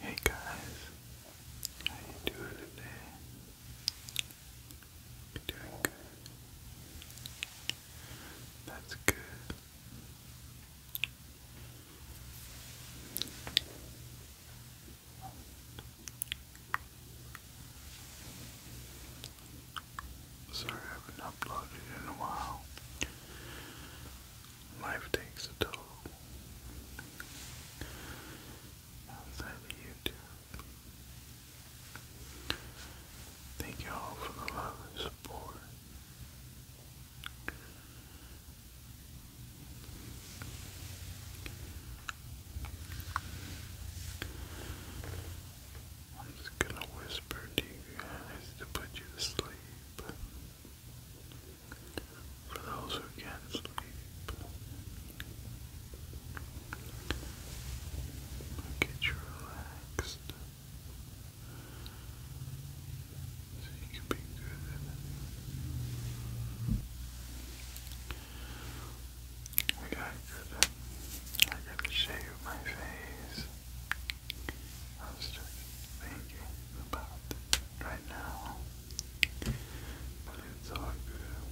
Hey guys, how you doing today? doing good? That's good. Sorry I haven't uploaded in a while life takes a toll. Outside of YouTube. Thank you all for the love and support. I'm just gonna whisper to you guys to put you to sleep for those who can't sleep. Get you relaxed. So you can be good I got good. I gotta shave my face. I was just thinking about right now, but it's all good.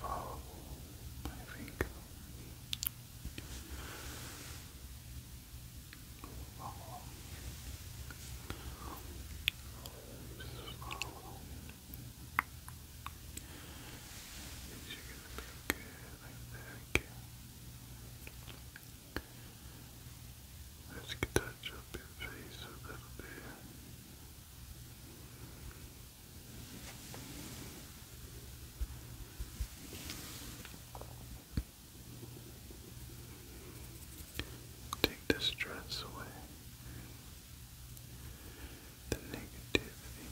Follow my finger. Follow. Just follow. Things good. Let's touch up your face a little bit. Take the stress away the negativity.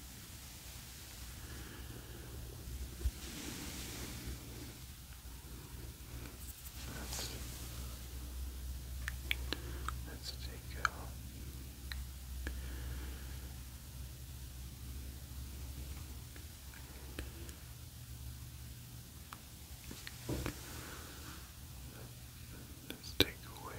Let's, let's take out. Let's take away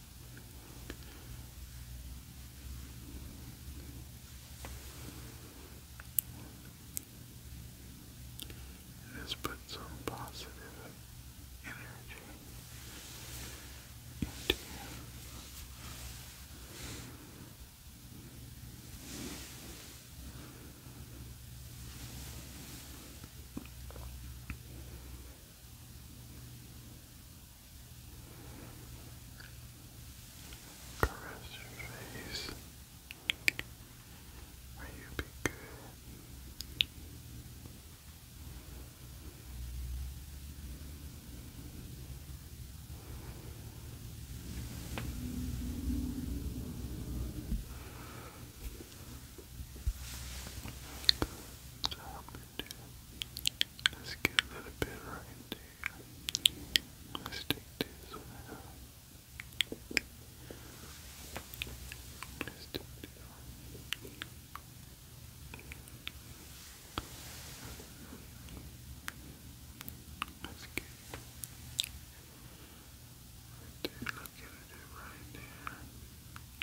And this puts some positive energy into you. Caress your face. May you be good. Relax. So help Let's get a little bit right there. Let's take this one Let's take this one. Let's get it right there.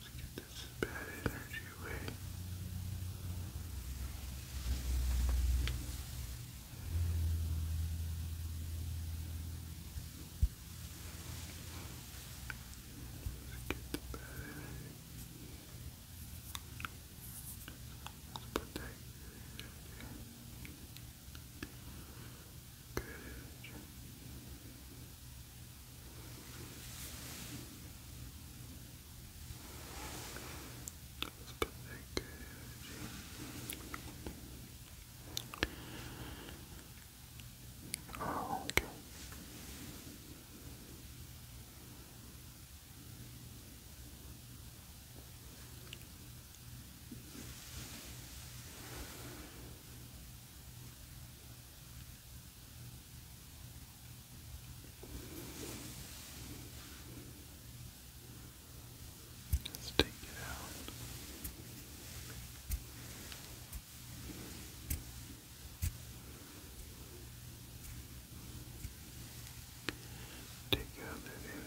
Let's get this bad energy away. Let's get the bad energy. Let's put that Good. Good. Let's oh, Okay. Let's take it out. Take out that energy.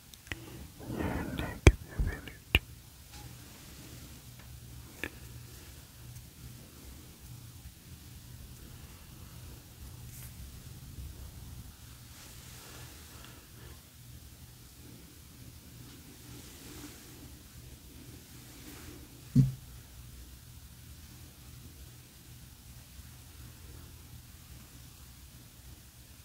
your negative energy.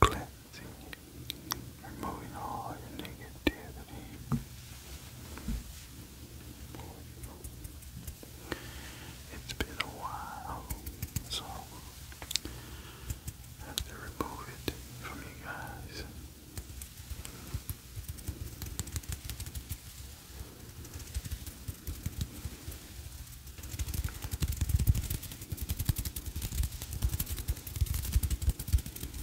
Cleansing, removing all your negativity. It's been a while, so I have to remove it from you guys.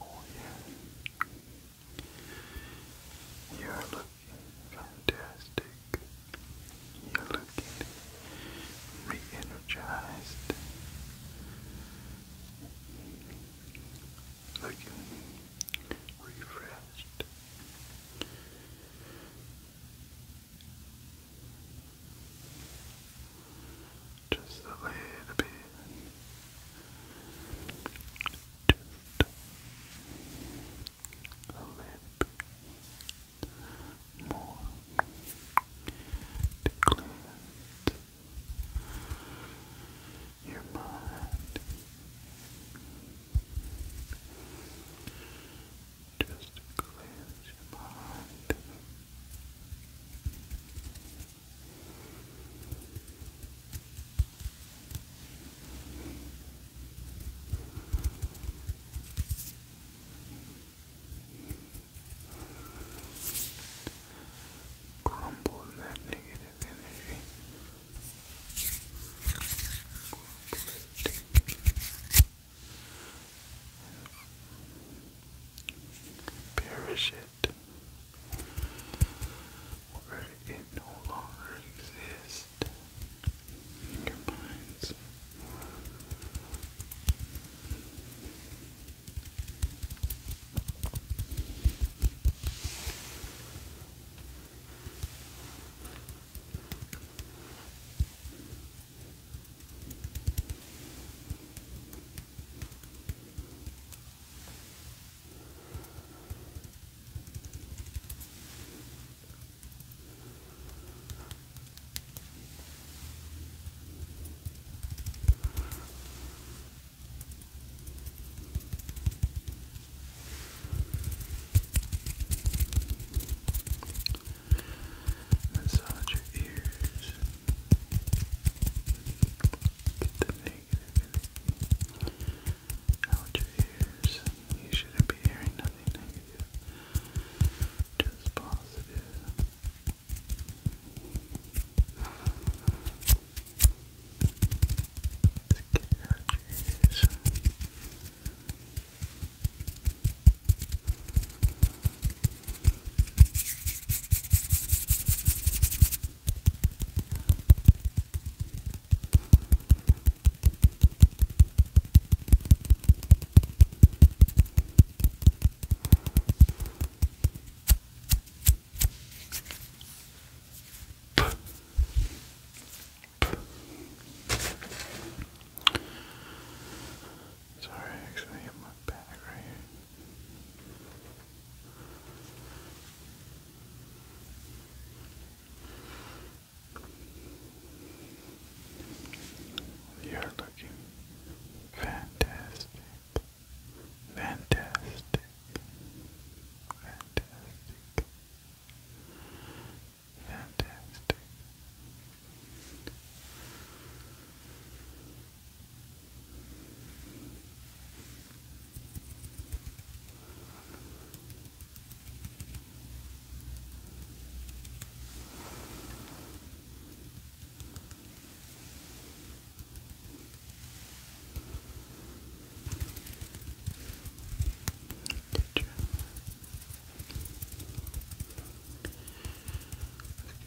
Oh yeah. You're looking fantastic. You're looking re-energized. Looking refreshed. Just a little bit. a little bit more. To cleanse your mind. Just cleanse your mind. Crumble that negative energy. Perish it where it no longer exists in your minds. Massage your ears. Get the negative out your ears. You shouldn't be hearing nothing negative, just positive. Let's get it out your ears. Sorry, I actually hit my back right here. You're looking fantastic. Fantastic. Fantastic. Fantastic.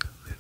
Let's get a little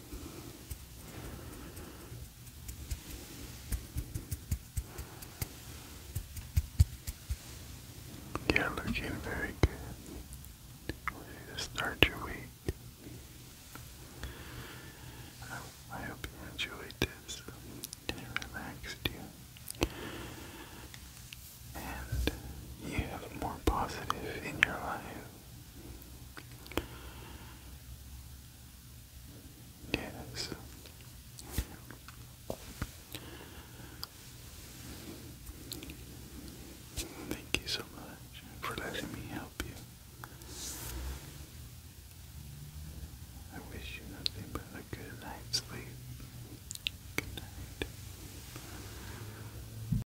You're looking very good. to start your week. I hope you enjoyed this and it relaxed you. And you have more positive in your life. Yes. Thank you so much for letting me help you. I wish you nothing but a good night's sleep. Good night.